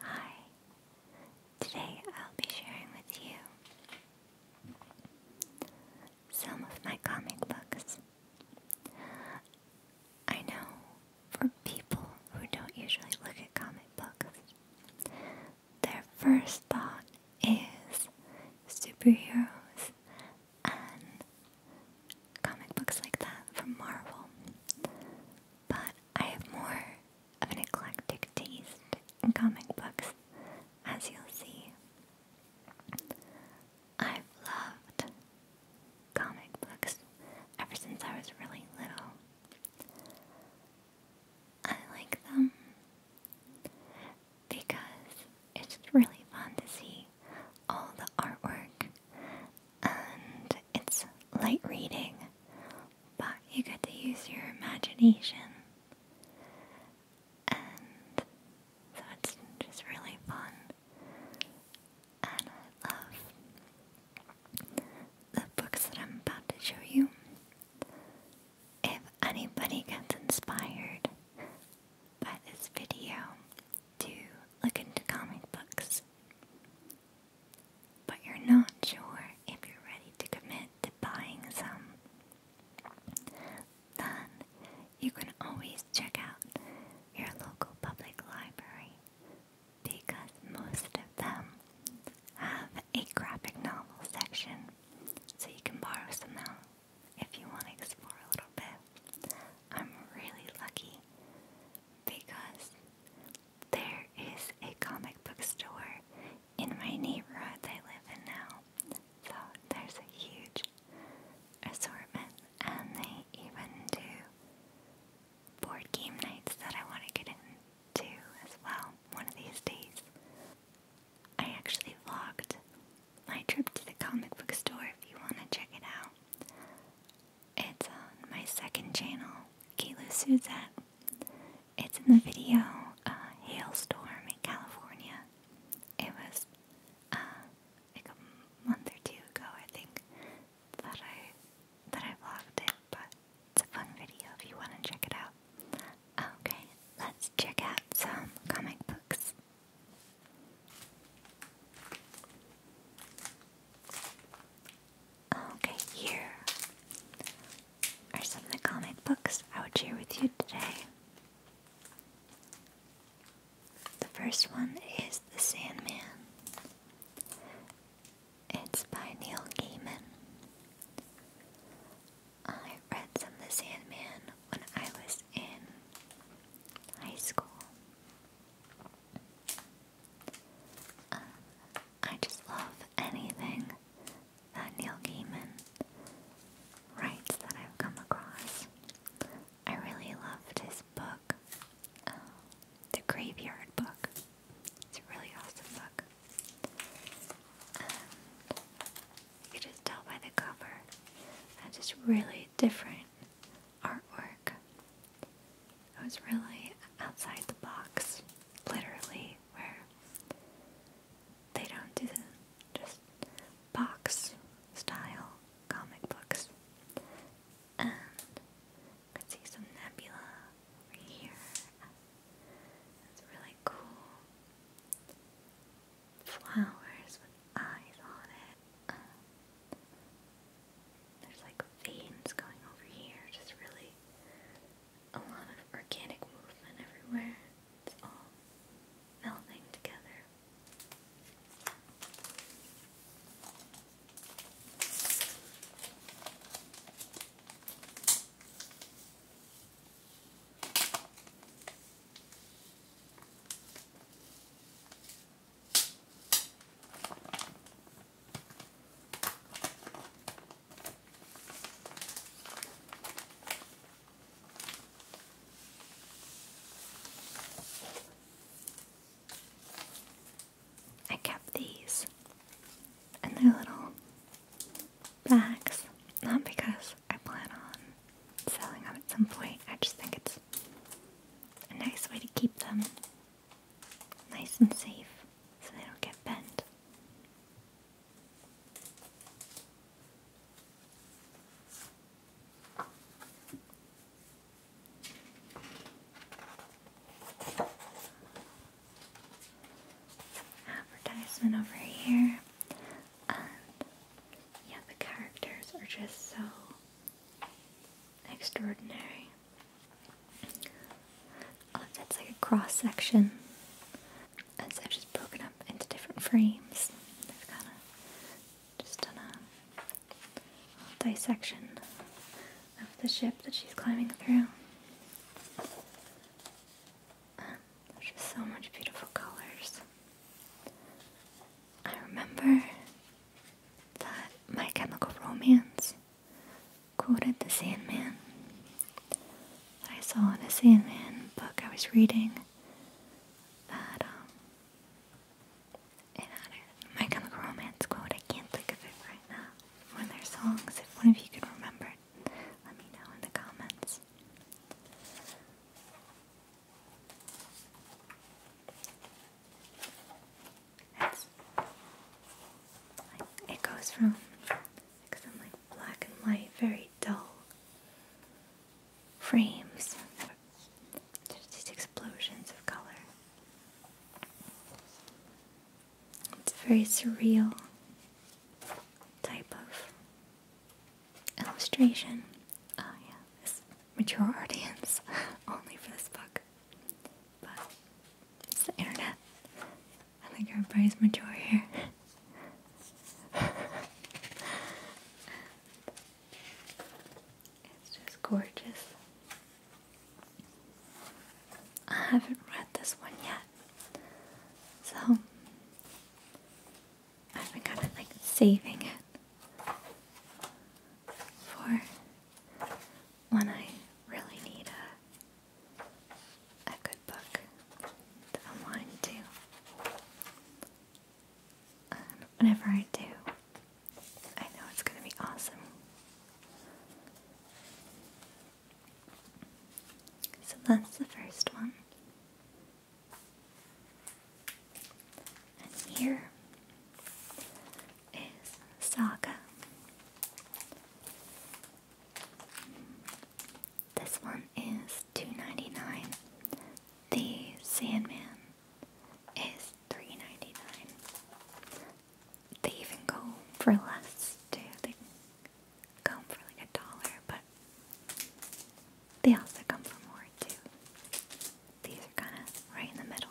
Hi, today I'll be sharing with you some of my comic books. I know for people who don't usually look at comic books, their first thought is superheroes and comic books like that from Marvel. But I have more of an eclectic taste in comic books, as you'll see. I've loved comic books ever since I was really little. I like them because it's really fun to see all the artwork and it's light reading, but you get to use your imagination. And so it's just really fun. And I love the books that I'm about to show you. If anybody gets inspired by this video to look into comic books, but you're not sure if you're ready to commit to buying some. Then you can always check out your local public library because most of them have a graphic novel section, so you can borrow some now if you want to explore a little bit. I'm really lucky because there is a comic book store in my neighborhood that I live in now. So there's a huge assortment, and they even do board game nights that I want to get into as well one of these days. I actually vlogged my trip to the comic book store if you want to check it out. It's on my second channel, Kayla Suzette. It's in the video uh, Hailstorm in California. It was uh, like a month or two ago, I think, that I that I vlogged it, but it's a fun video if you want to check it out. Okay, let's check out some comic books. Okay, here are some of the comic books I would share with you today. The first one is The Sandman. It's by Neil Gaiman. I read some of The Sandman when I was in high school. Uh, I just love anything that Neil Gaiman writes that I've come across. I really loved his book, uh, The Graveyard Book. It's a really awesome book. And you can just tell by the cover that it's really different artwork. It was really outside the box, literally where they don't do the just box style comic books. And I see some nebula over here. It's really cool. Flowers with eyes on it. there's like veins going over here, just really a lot of organic movement everywhere. It's all melding together. I kept these in their little bags, not because I plan on selling them at some point, I just think it's a nice way to keep them nice and safe so they don't get bent. Advertisement over here, yeah, the characters are just so extraordinary. Oh, that's like a cross section. And so I've just broken up into different frames. I've kind of just done a dissection of the ship that she's climbing through. Um, there's just so much beautiful colors. I remember that My Chemical Romance quoted the Sandman. I saw in a Sandman book I was reading that um, it My Chemical Romance quote. I can't think of it right now. One of their songs. If one of you can remember it, let me know in the comments. it goes from because i like black and white, very dull frames. There's these explosions of color. It's very surreal type of illustration. Oh, yeah, this mature audience only for this book. But it's the internet. I think your is mature here. it's just gorgeous. I haven't read this one yet, so I've been kind of like saving it for when I really need a a good book that I'm um, whenever I do, I know it's going to be awesome. So that's the first one. And here is Saga. This one is $2.99. The Sandman is $3.99. They even go for less too. They go for like a dollar, but they also come for more too. These are kind of right in the middle.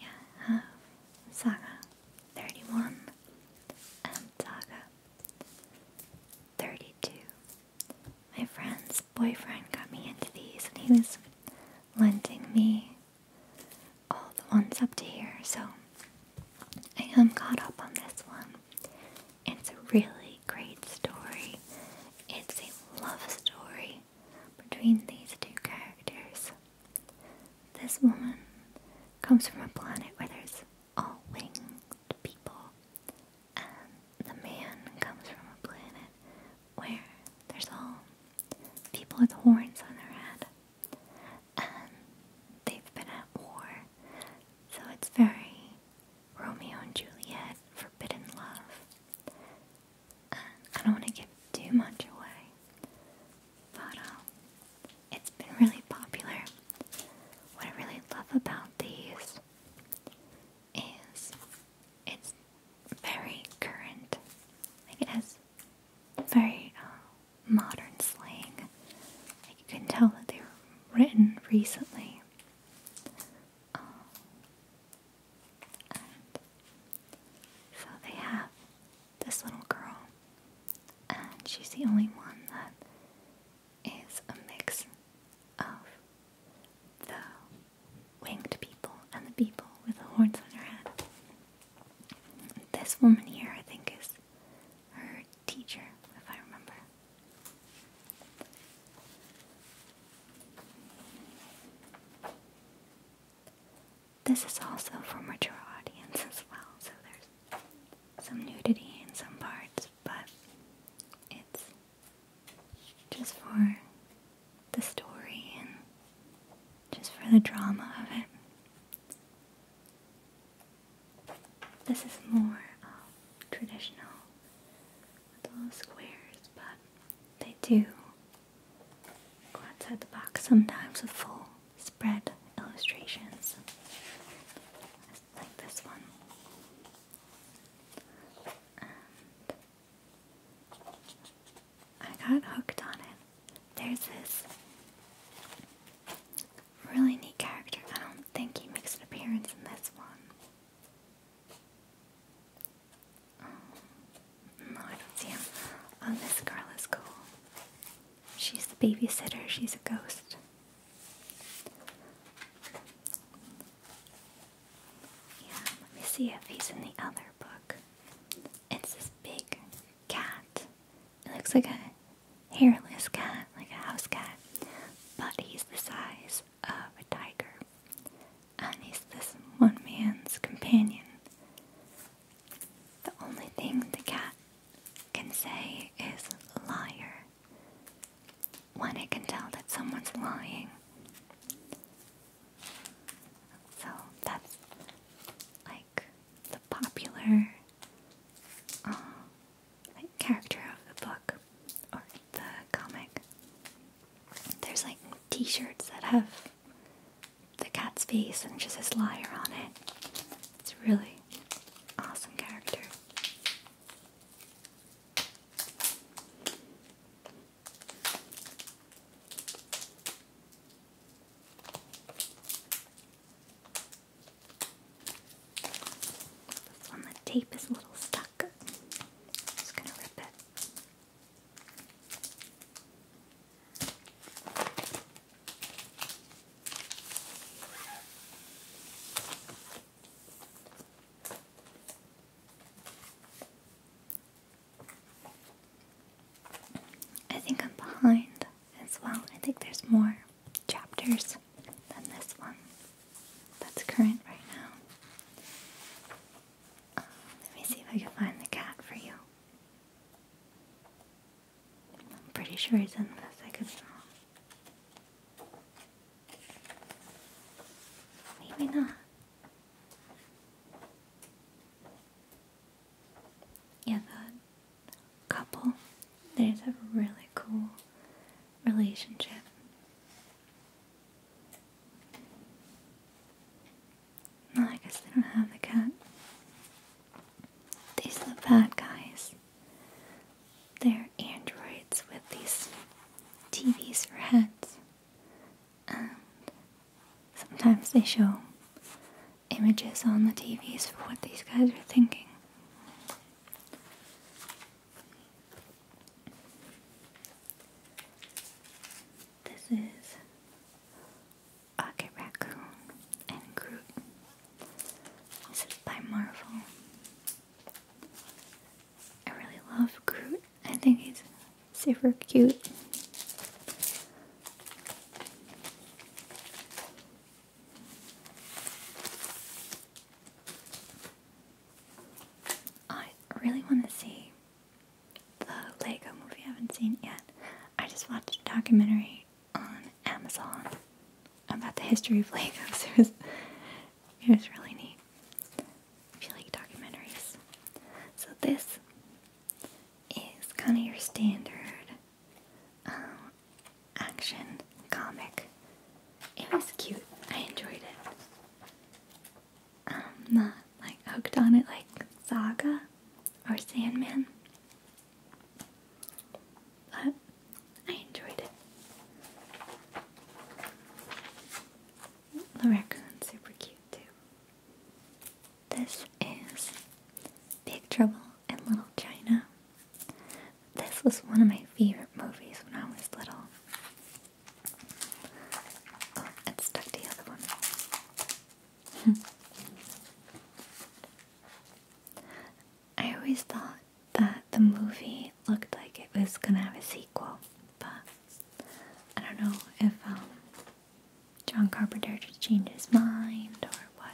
Yeah, um, Saga 31 and Saga 32 my friend's boyfriend got me into these and he was lending me all the ones up to here, so I am caught up on this one. It's a really great story. It's a love story between these two characters. This woman comes from a planet where there's all winged people, and the man comes from a planet where there's all people with horns on their head. And um, they've been at war. So it's very Romeo and Juliet, forbidden love. Um, I don't want to give too much away. But um, it's been really popular. What I really love about these is it's very current. Like it has very uh, modern slang. Like you can tell that they were written recently. Um, so they have this little girl, and she's the only one that is a mix of the winged people and the people with the horns on their head. This woman here, I think, is her teacher, if I remember. This is also for mature audience as well, so there's some nudity in some parts, but it's just for the story and just for the drama of it. This is more traditional with little squares, but they do go outside the box sometimes with full spread illustrations like this one. I got hooked on it. There's this really neat character. I don't think he makes an appearance in this one. Um, no, I don't see him. Um, this girl is cool. She's the babysitter. She's a ghost. Yeah, let me see if he's in the other book. It's this big cat. It looks like a hairless cat, like a house cat, but he's the size of a tiger. And he's this one man's companion. The only thing the cat can say is liar. When it can tell that someone's lying, so that's like the popular um, like character of the book or the comic. There's like T-shirts that have the cat's face and just his liar on it. It's really awesome character. This one, the tape is a little stuck. just gonna rip it. I think I'm behind as well. I think there's more chapters than this one that's current right now. Um, let me see if I can find the cat for you. I'm pretty sure he's in the second could Maybe not. Yeah, that couple, there's a really cool relationship. I guess they don't have the cat. These are bad guys. They're androids with these TVs for heads. Sometimes they show images on the TVs for what these guys are thinking. This is Rocket Raccoon and Groot. This is by Marvel. I really love Groot I think he's super cute. I really want to see the Lego movie I haven't seen yet. I just watched a documentary on Amazon about the history of Legos. It was, it was really neat. If you like documentaries. So this is kind of your standard um, action comic. It was cute. I enjoyed it. I'm um, not like hooked on it like Saga or Sandman, but I enjoyed it the raccoon's super cute too. This is Big Trouble in Little China. This was one of my favorite movies when I was little. Oh, it stuck the other one. I always thought that the movie looked like it was gonna have a sequel, but I don't know if um, John Carpenter just changed his mind or what.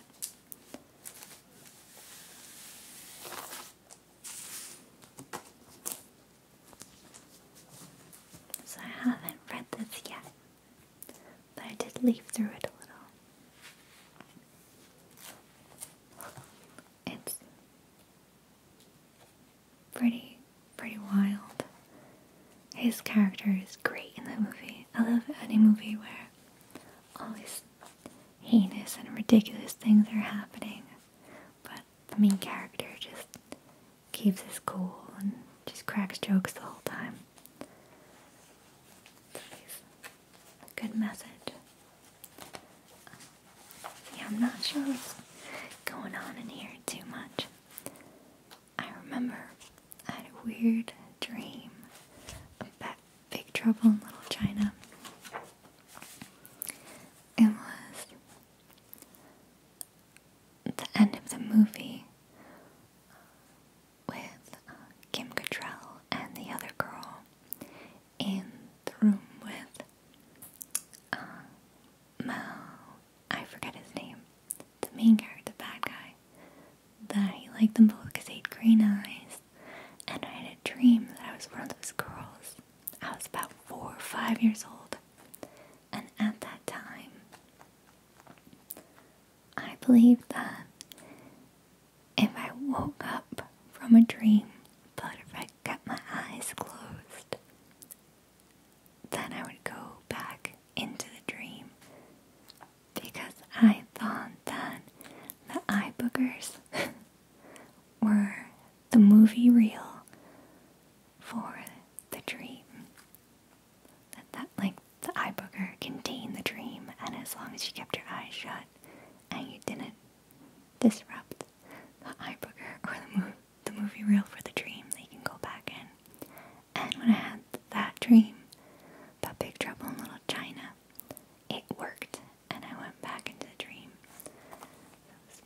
So I haven't read this yet, but I did leaf through it a little. It's pretty pretty wild. His character is great in the movie. I love any movie where all these heinous and ridiculous things are happening, but the main character just keeps his cool and just cracks jokes the whole time. It's a good message. Yeah, I'm not sure what's going on in here too much. I remember I had a weird dream about Big Trouble in Little China. It was the end of the movie with uh, Kim Cattrall and the other girl in the room with uh, I forget his name, the main guy, the bad guy, that he liked them both because they had green eyes. And I had a dream that I was one of those girls. I was about four or five years old. And at that time, I believed that if I woke up from a dream, but if I kept my eyes closed, then I would go back into the dream because I thought that the eye boogers were the movie reel for the dream. That, like the eye booger contained the dream and as long as you kept your eyes shut and you didn't disrupt the eye booger or the, mo the movie reel for the dream, they can go back in and when I had that dream about Big Trouble in Little China, it worked, and I went back into the dream. It was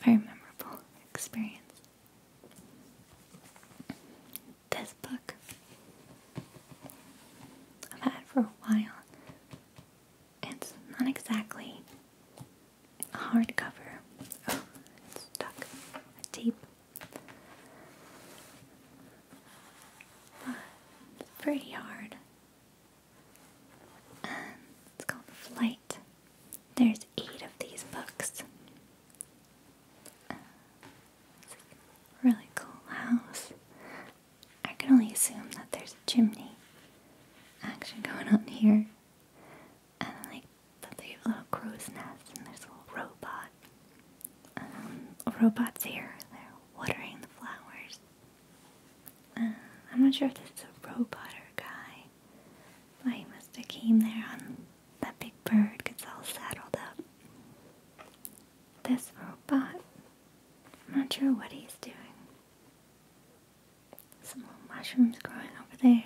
very memorable experience. This book I've had for a while. It's not exactly a hardcover. Oh, it's stuck. A tape pretty hard. Um, it's called Flight. There's eight of these books. really cool house. I can only assume that there's a chimney action going on here and like there's little crow's nest and there's little robot. Um, robots here. They're watering the flowers. Uh, I'm not sure if this is a robot or a guy, but he must have came there on that big bird gets all saddled up. This robot, I'm not sure what he's doing. Some little mushrooms growing over there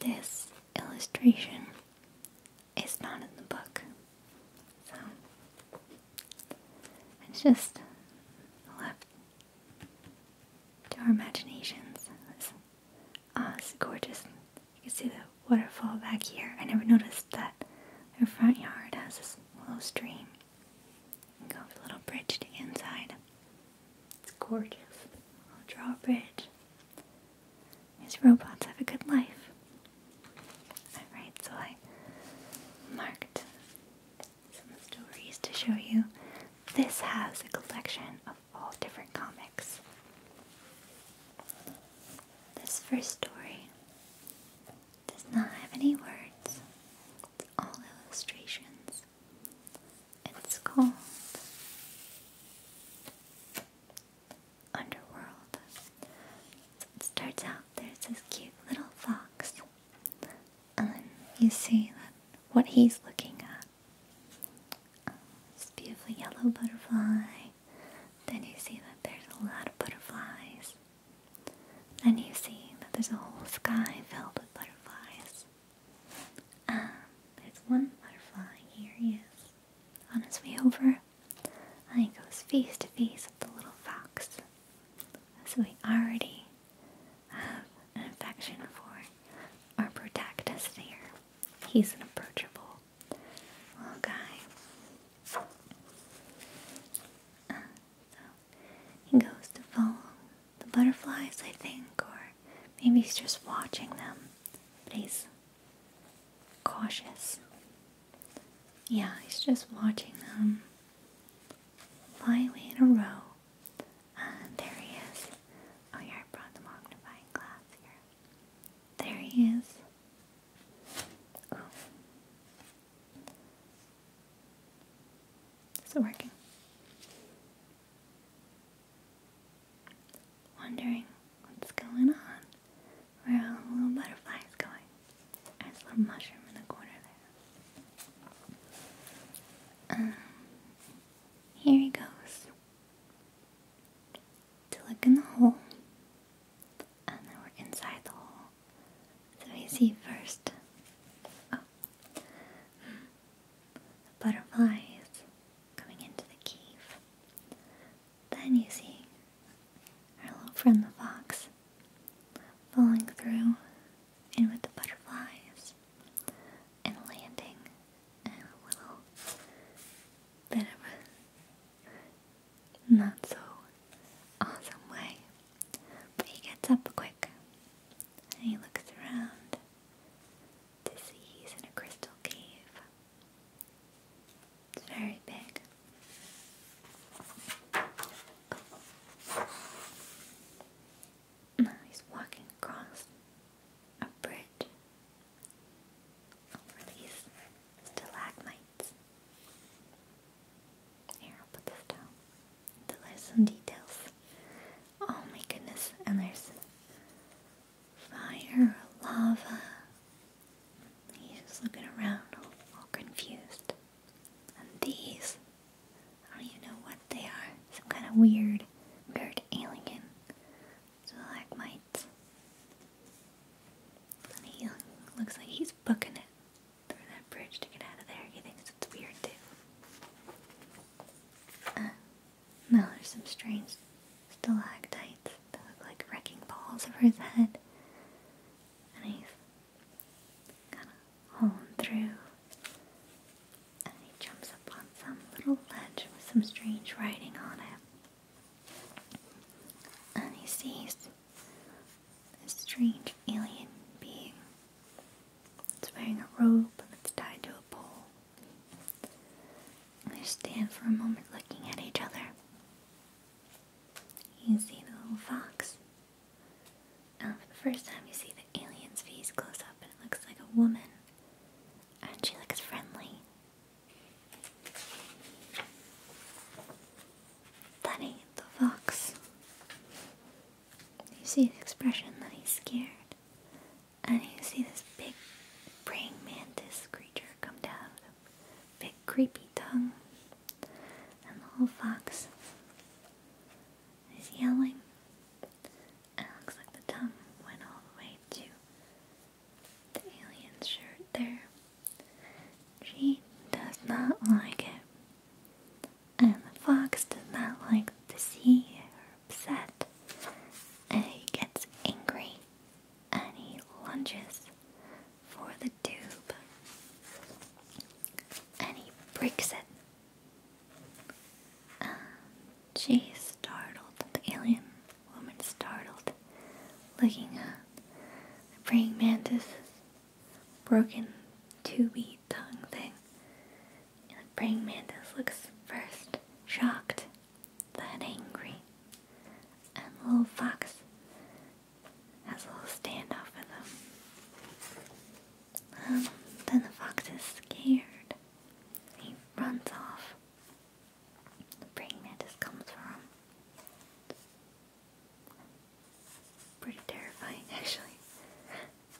this illustration is not in the book. So it's just left to our imaginations. It's, oh, it's gorgeous. You can see the waterfall back here. I never noticed that our front yard has this little stream. You can go over the little bridge to the inside. It's gorgeous. I'll draw a bridge. These robots have a good life. Alright, so I marked some stories to show you. This has a collection of all different comics. This first story does not have any words, it's all illustrations. It's called Underworld. it starts out there's this cute little fox, and um, then you see that what he's looking at. this beautiful yellow butterfly. Then you see that there's a lot of butterflies. Then you see that there's a whole sky filled with butterflies. Um, there's one butterfly. Here he is. On his way over, and he goes face to face with the little fox. So we already have an affection for our protagonist here. He's an approachable little guy. Uh, so he goes to follow the butterflies, I think, or maybe he's just watching them, but he's cautious. Yeah, he's just watching them fly away in a row. there he is. Oh, yeah, I brought the magnifying glass here. There he is. Ooh. working? wondering what's going on, where all the little butterflies is going. There's a little mushroom in the corner there. Um, here he goes look in the hole, and then we're inside the hole. So we see first. Oh the butterflies coming into the cave. Then you see our little friend the fox falling through in with the butterflies and landing in a little bit of a not so awesome way. But he gets up quick and he looks around to see he's in a crystal cave. It's very big. he's walking across a bridge over these stalagmites. Here, I'll put this down. there's some details. Oh my goodness, and there's fire lava. He's just looking around, all, confused. And these, I don't even know what they are. Some kind of weird, weird alien stalagmites. And looks like he's booking it through that bridge to get out of there. He thinks it's weird too. Uh, now there's some strange stalactites that look like wrecking balls over his head. And he's kind of hauling through. And he jumps up on some little ledge with some strange writing on it. And he sees a strange alien being. It's wearing a rope that's tied to a pole. They stand for a moment looking at each other. You see the little fox. for the first time you see the alien's face close up, and it looks like a woman. And she looks friendly. Bunny, the fox. You see the expression that he's scared and you see this big praying mantis creature come down with a big creepy tongue, and the little fox is yelling. And looks like the tongue went all the way to the alien's shirt there. She does not like it. And the fox does not like to see upset. And he gets angry and he lunges for the tube and he breaks it. And she startled, the alien woman startled, looking at the praying mantis' broken tubey tongue thing. the praying mantis looks first shocked then angry. And little fox has a little standoff with him. Um, then the fox is scared. He runs off. The brain that just comes from him. Pretty terrifying, actually.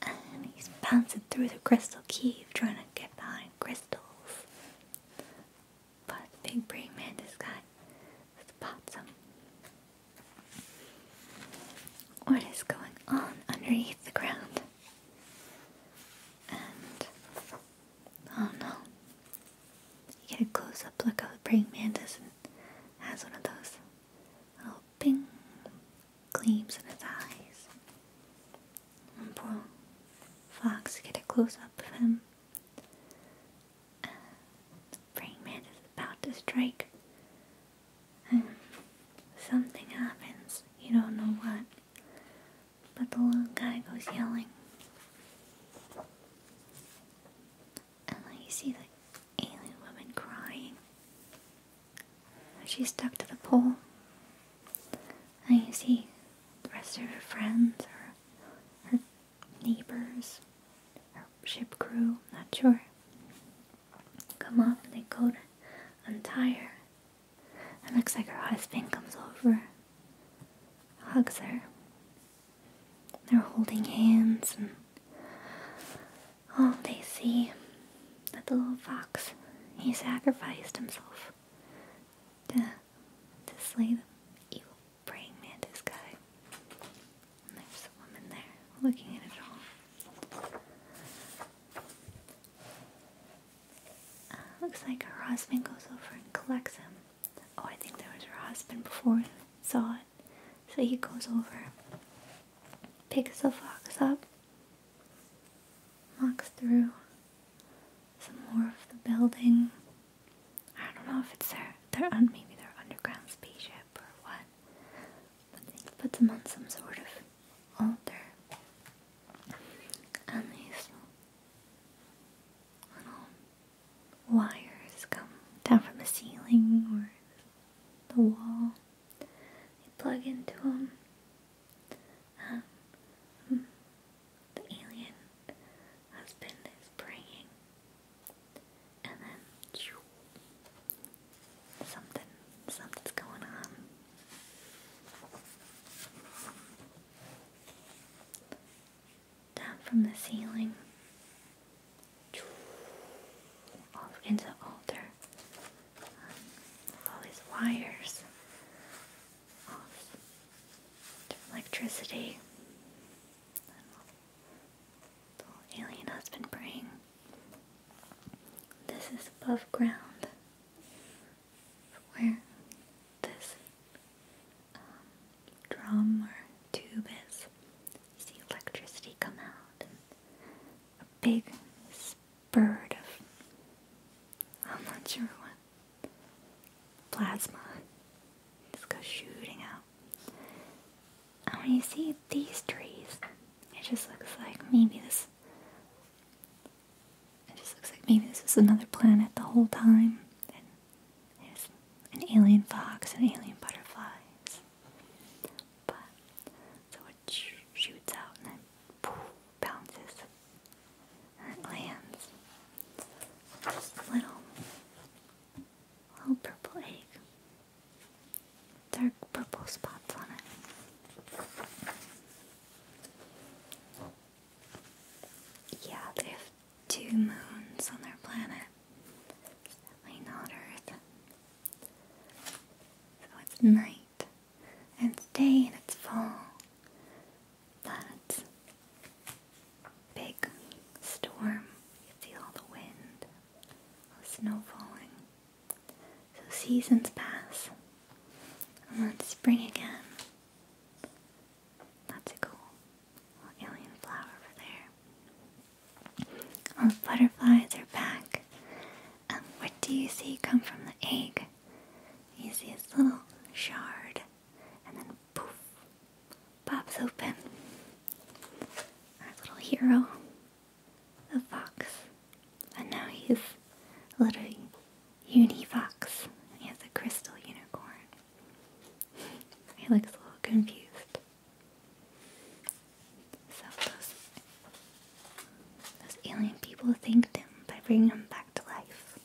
And he's bouncing through the crystal cave trying to get behind crystals. But Big Brain Man, this guy, spots him. What is going on underneath the ground? And oh no. You get a close up look how the praying mantis and has one of those little ping gleams in his eyes. And boom. Fox get a close up of him. the uh, praying mantis is about to strike. And um, something happens. You don't know what. But the little guy goes yelling. And then you see the alien woman crying. She's stuck to the pole and you see the rest of her friends or her neighbors, her ship crew, not sure, come up they go to untire. her. It looks like her husband comes over, hugs her. They're holding hands and all they see that the little fox, he sacrificed himself to, slay them. Evil praying mantis guy. there's a woman there looking at it all. Uh, looks like her husband goes over and collects him. Oh, I think there was her husband before saw it. So he goes over, picks the fox up, Walks through some more of the building. I don't know if it's their, their un, maybe their underground spaceship or what, but they put them on some sort of altar. And these little wires come down from the ceiling or the wall. They plug into them um, hmm, the alien husband is praying, and then something, something's going on. Down from the ceiling, shoo, into the altar. Um, all these wires off electricity. The alien husband praying. This is above ground where this um, drum or tube is. You see electricity come out a big spurt of I'm not sure what plasma just goes shooting out. And when you see these trees, it just looks like maybe this. It just looks like maybe this is another planet the whole time. And an alien fox and alien butterflies. But so it shoots out and then poof, bounces her glands. little, little purple egg. Dark purple spots on it. Yeah, they have two moons on their planet. not Earth. So it's night, and day, and it's fall that big storm. You can feel the wind, snow falling. So seasons pass, and then spring again. That's a cool alien flower over there. All the butterflies are back. what do you see come from the egg? You see this little shard and then poof, pops open our little hero, the fox. And now he's a little unifox. He a crystal unicorn. he looks a little confused. So those, those alien people thanked him by bringing him back to life.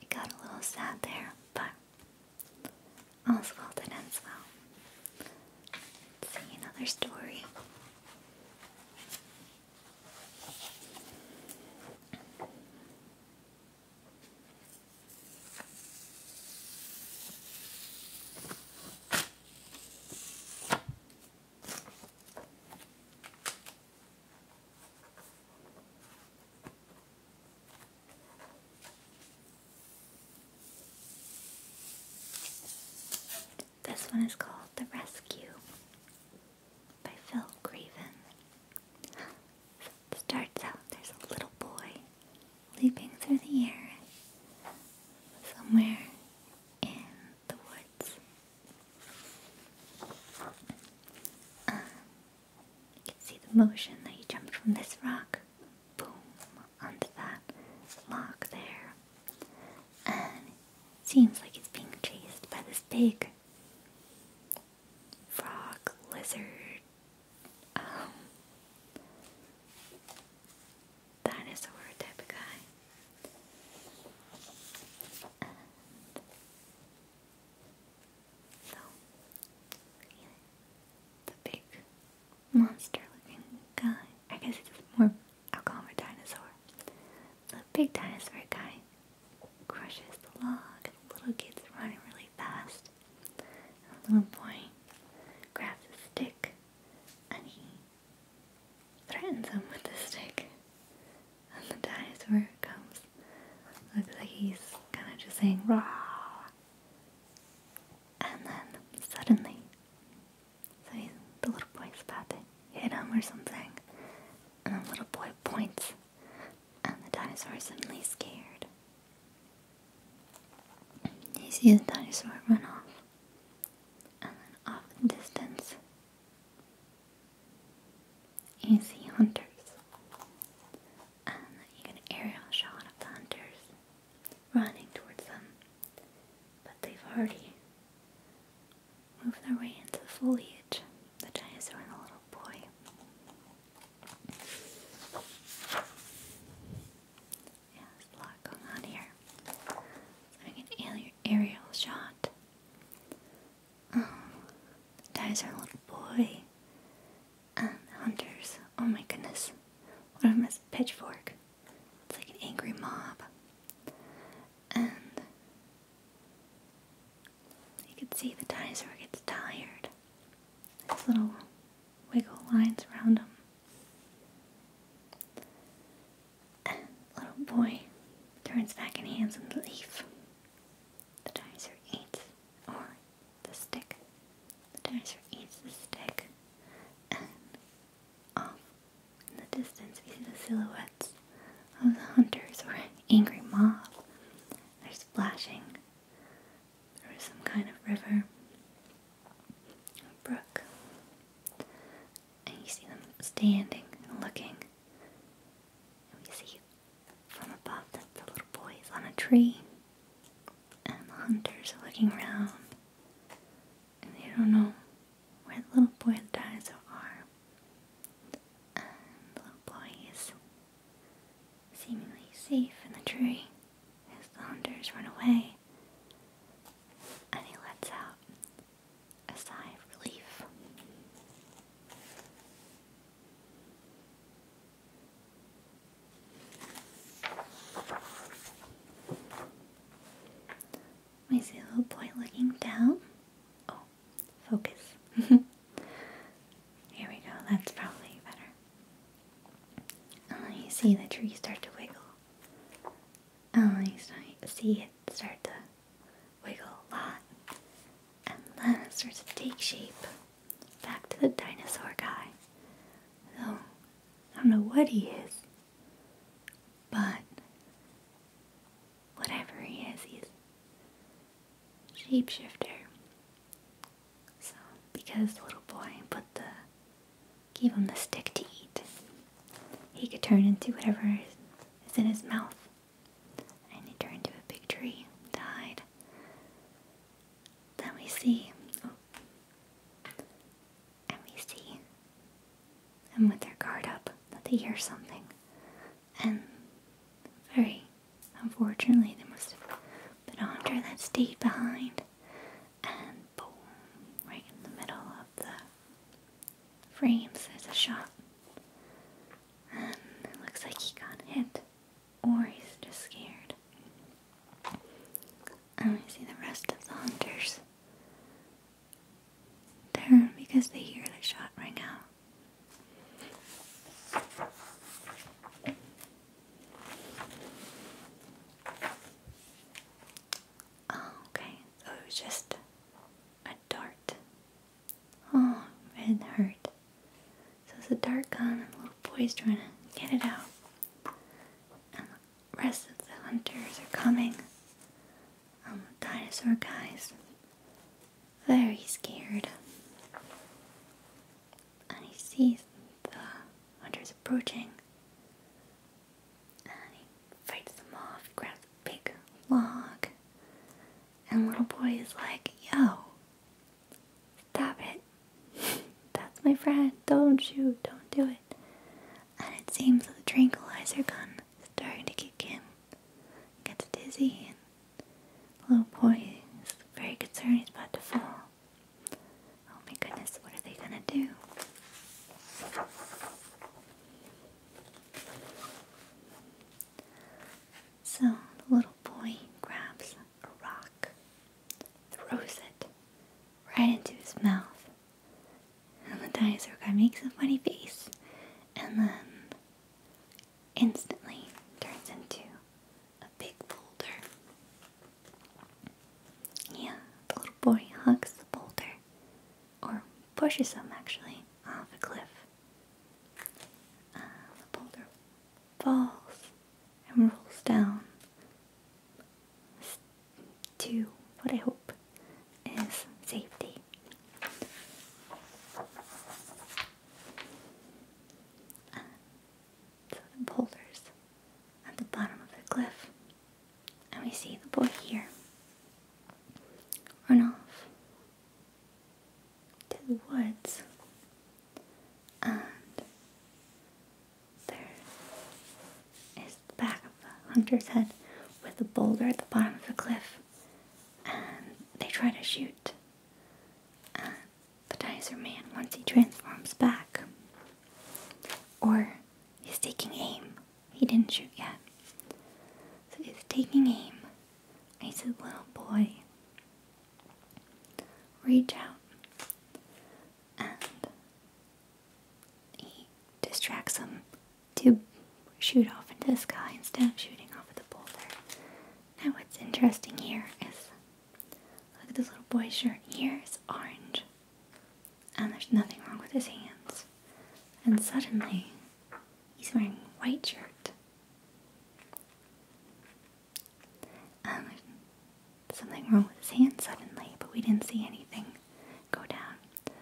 It got a little sad there, but all's well that ends well. see another story. This one is called The Rescue by Phil Craven. starts out there's a little boy leaping through the air somewhere in the woods. Um, you can see the motion that he jumped from this rock, boom, onto that log there. And seems like he's being chased by this big frog, lizard, um, dinosaur type of guy. so, oh, the big monster looking guy. I guess it's more, i a dinosaur. The big dinosaur guy crushes the log, little kid's running really fast. And the little boy grabs a stick and he threatens him with the stick. And the dinosaur comes. Looks like he's kind of just saying, raw. And then suddenly, so the little boy's about to hit him or something. And the little boy points. And the dinosaur suddenly scared. He sees the dinosaur run off and then off in distance you see hunters and you get an aerial shot of the hunters running towards them but they've already moved their way into the foliage the dinosaur and the little boy yeah, there's a lot going on here. Having an aerial shot. Oh, um, that little boy. Um, hunters. Oh my goodness. One of them has a pitchfork. It's like an angry mob. And you can see the dinosaur gets tired. There's little wiggle lines around him little boy turns back and hands him the leaf. The dinosaur eats, or the stick. The dinosaur eats the stick, and off in the distance we see the silhouettes of the hunters or angry mob. They're splashing There's some kind of river, brook, and you see them standing and looking. And we see from above that the little boy is on a tree, and the hunters are looking around, and they don't know where the little boy and the dinosaur are. And the little boy is seemingly safe in the tree as the hunters run away, and he lets out a sigh of relief. My little boy looking down. Oh, focus. Here we go, that's probably better. Uh, you see the tree start to wiggle and then you start, see it start to wiggle a lot, and then it starts to take shape. Back to the dinosaur guy. Though, I don't know what he is, but whatever he is, he's shapeshifter. So, because the little boy put the Give him the stick to eat. He could turn into whatever is in his mouth. And he turned to a big tree, died. Then we see, oh, and we see them with their guard up that they hear something. And very unfortunately, there must have been Andre that stayed behind. And boom, right in the middle of the frames. There's a shot. it looks like he got hit. Or he's just scared. I want see the rest of the hunters. they because they hear the shot ring out. Oh, okay. it was just a dart. Oh, it hurt. So it's a dart gun. and the little boy's trying to get it out. And the rest of the hunters are coming. Um, the dinosaur guys. Very scared. And he sees the hunters approaching. And he fights them off, grabs a big log. And little boy is like, yo, stop it. That's my friend. Don't shoot. Don't do it. And it seems that the tranquilizer gun is starting to kick in. Gets dizzy, and the little boy is very concerned he's about to fall. Oh my goodness, what are they gonna do? So the little boy grabs a rock, throws it right into his mouth, and the dinosaur guy makes a funny face and then instantly turns into a big boulder. Yeah, the little boy hugs the boulder or pushes them actually off a cliff. Uh, boulder falls and rolls down to what I hope is safety. Uh, boulders at the bottom of the cliff and we see the boy here run off to the woods and there is the back of the hunter's head with a boulder at the bottom of the cliff and they try to shoot and the Dicer Man once he transforms back or he's taking aim he didn't shoot yet. So he's taking aim. He's a little boy, reach out. And he distracts him to shoot off into the sky instead of shooting off at the boulder. Now what's interesting here is, look at this little boy's shirt. Here is orange and there's nothing wrong with his hands. And suddenly, he's wearing a white shirt. And something wrong with his hands suddenly, but we didn't see anything go down.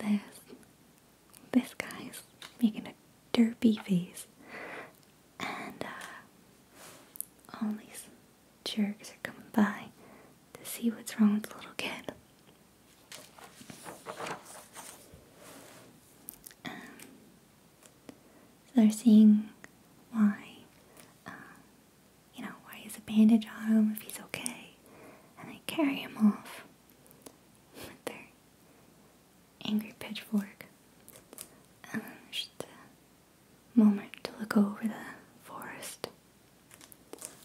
And there's this guy's making a derpy face. And uh, jerks are coming by to see what's wrong with the little kid. Um, they're seeing why, um, you know, why is a bandage on him if he's okay, and they carry him off with their angry pitchfork. And then there's the moment to look over the forest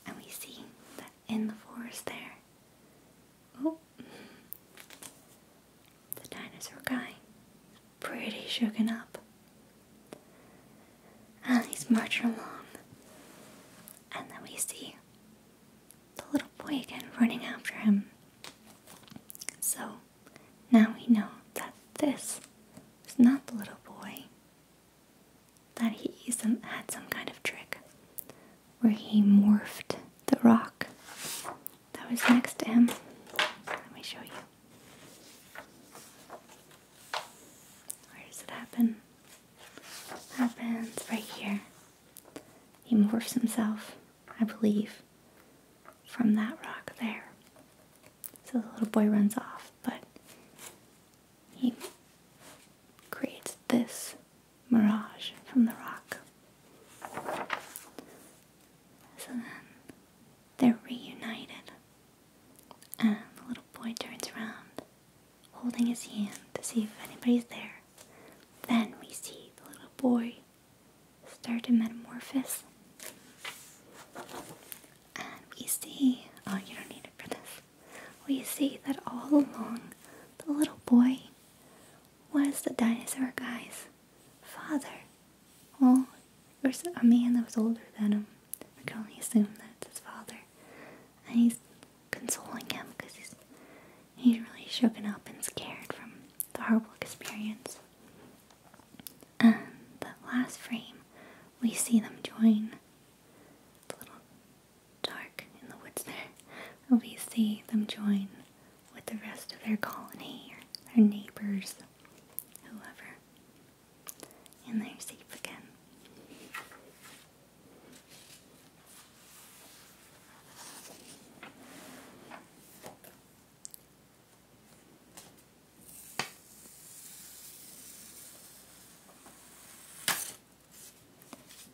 and we see that in the forest there, oh, the dinosaur guy pretty shooken up. And he's marching along. And then we see the little boy again running after him. So now we know that this is not the little boy, that he some, had some kind of trick where he morphed the rock that was next to him. Let me show you. Where does it happen? happens right here. He morphs himself, I believe, from that rock there. So the little boy runs off, but he creates this mirage from the rock. So then they're reunited, and the little boy turns around, holding his hand to see if anybody's there. Then we see the little boy start to metamorphose. And we see, oh, you don't need it for this we see that all along the little boy was the dinosaur guy's father. Well, there's a man that was older than him. I can only assume that's his father. And he's consoling him because he's, he's really shaken up and scared from the horrible experience. And the last frame, we see them join dark in the woods there, we see them join with the rest of their colony or their neighbors, whoever, and they're safe again.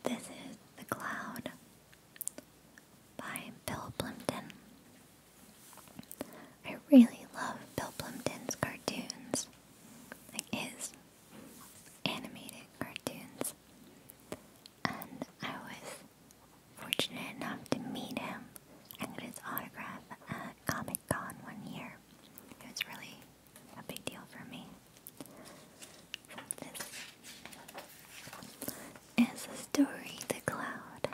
This is The Cloud by Bill Plimpton. I really love Bill Plimpton's cartoons, like his animated cartoons. And I was fortunate enough to meet him and get his autograph at Comic Con one year. It was really a big deal for me. This is story The Cloud.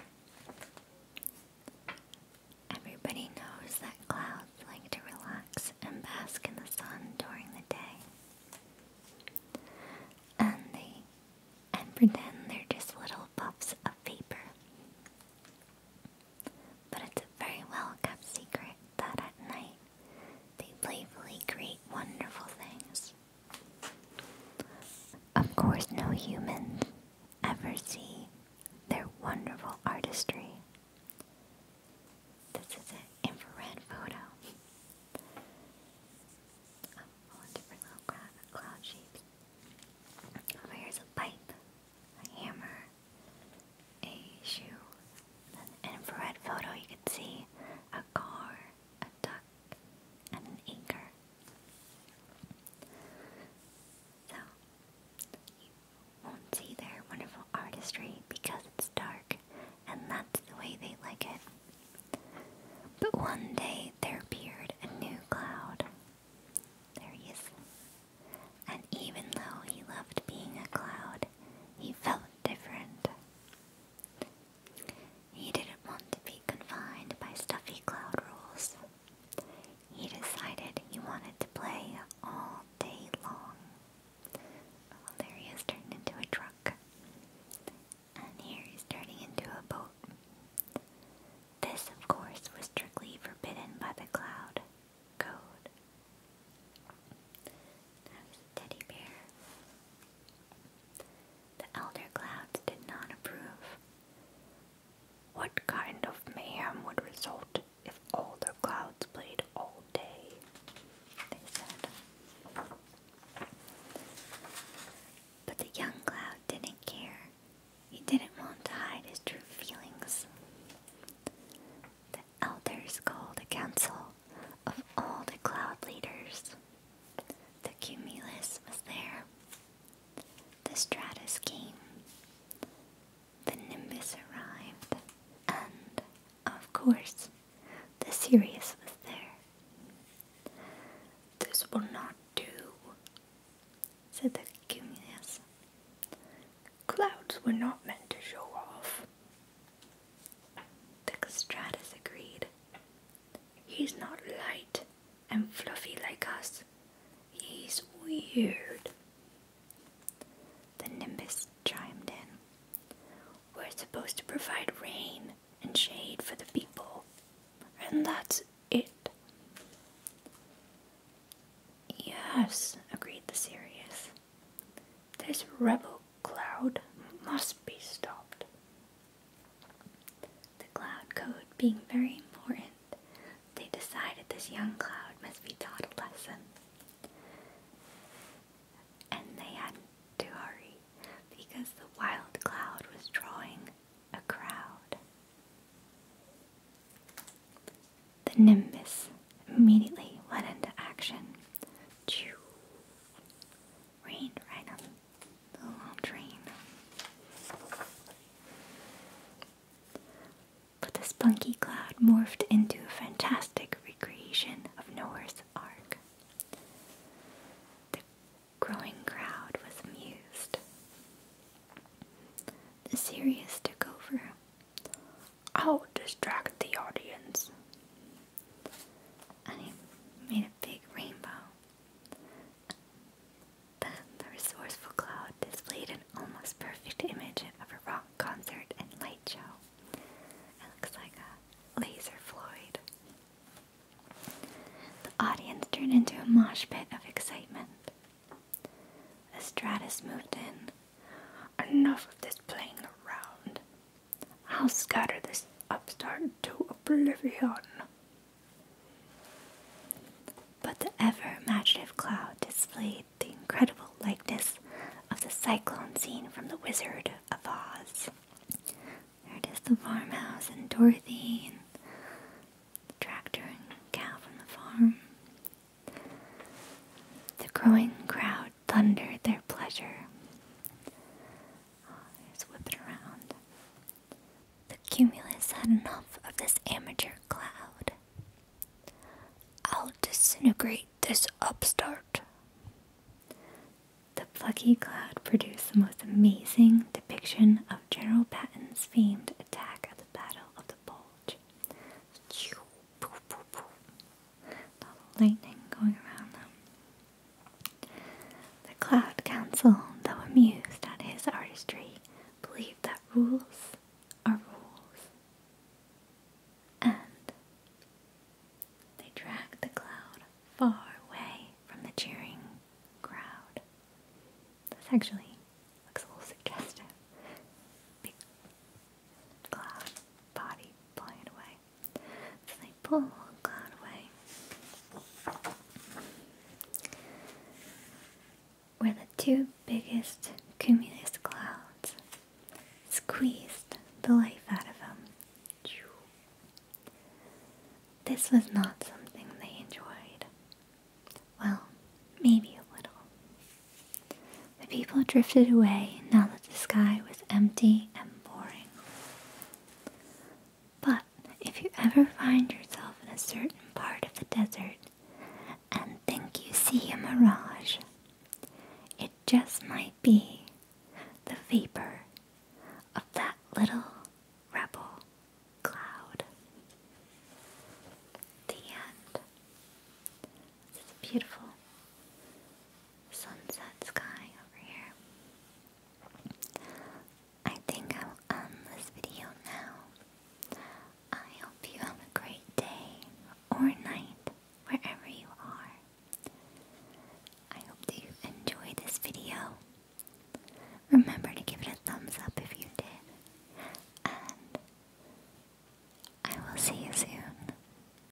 Everybody knows that clouds like to relax and bask in the sun during the day. And they and pretend they're just little puffs of vapor. But it's a very well kept secret that at night they playfully create wonderful things. Of course, no humans ever see their wonderful artistry. This is an infrared photo of all different little cloud shapes. Over here's a pipe, a hammer, a shoe, an infrared photo you can see a car, a duck, and an anchor. So you won't see their wonderful artistry because it's dark and that's the way they like it. But one day there appeared a new cloud. There he is. And even though he loved being a cloud, he felt different. He didn't want to be confined by stuffy cloud rules. He decided he wanted to play all day long. there he turned into a truck. And here he's turning into a boat. This, of course, was strictly forbidden by the cloud code. teddy bear. The elder clouds did not approve. What kind of mayhem would result if all the clouds played all day? They said. But the young cloud didn't care. He didn't want to hide his true feelings the elders called a council of all the cloud leaders. The cumulus was there, the stratus came, the nimbus arrived, and, of course, the Sirius was there. This will not do, said the cumulus. Clouds were not meant to show off. Textratus agreed. He's not light and fluffy like us. He's weird. The Nimbus chimed in. We're supposed to provide rain and shade for the people, and that's it. Yes, agreed the Sirius. This rebel cloud must be stopped. The cloud code being very important, they decided this young cloud must be taught a lesson. And they had to hurry because the wild cloud was drawing a crowd. The Nimbus immediately went into action. Choo. Rained right on the But the spunky cloud morphed into a fantastic recreation of Noah's Ark. The growing crowd was amused. The Sirius took over I'll distract the audience. And he made a big rainbow. the resourceful cloud displayed an almost perfect image of a rock concert and light show. It looks like a laser Floyd. The audience turned into a mosh pit of excitement. The stratus moved in, Enough of this playing around. I'll scatter this upstart to oblivion. But the ever imaginative cloud displayed the incredible likeness of the cyclone scene from The Wizard of Oz. There the farmhouse and Dorothy and the tractor and cow from the farm. The growing crowd thunder their pleasure. just whip it around. The cumulus had enough of this amateur cloud. I'll disintegrate this upstart. The plucky cloud produced the most amazing depiction of General Patton's famed attack at the Battle of the Bulge poof, lightning going around them. The Cloud Council, though amused at his artistry, believed that rules are rules. And they dragged the cloud far away from the cheering crowd. This actually looks a little suggestive cloud body blowing away. they pull the cloud away. Where the two biggest cumulus clouds squeezed the life out of them. This was not something they enjoyed. Well, maybe a little. The people drifted away now that the sky was empty and boring. But if you ever find yourself in a certain part of the desert and think you see a mirage, it just might be the vapor of that little rebel cloud. The end. It's beautiful sunset sky over here. I think I will end this video now. I hope you have a great day or night wherever you are. I hope that you enjoyed this video. Remember to give it a thumbs up if you did. And I will see you soon.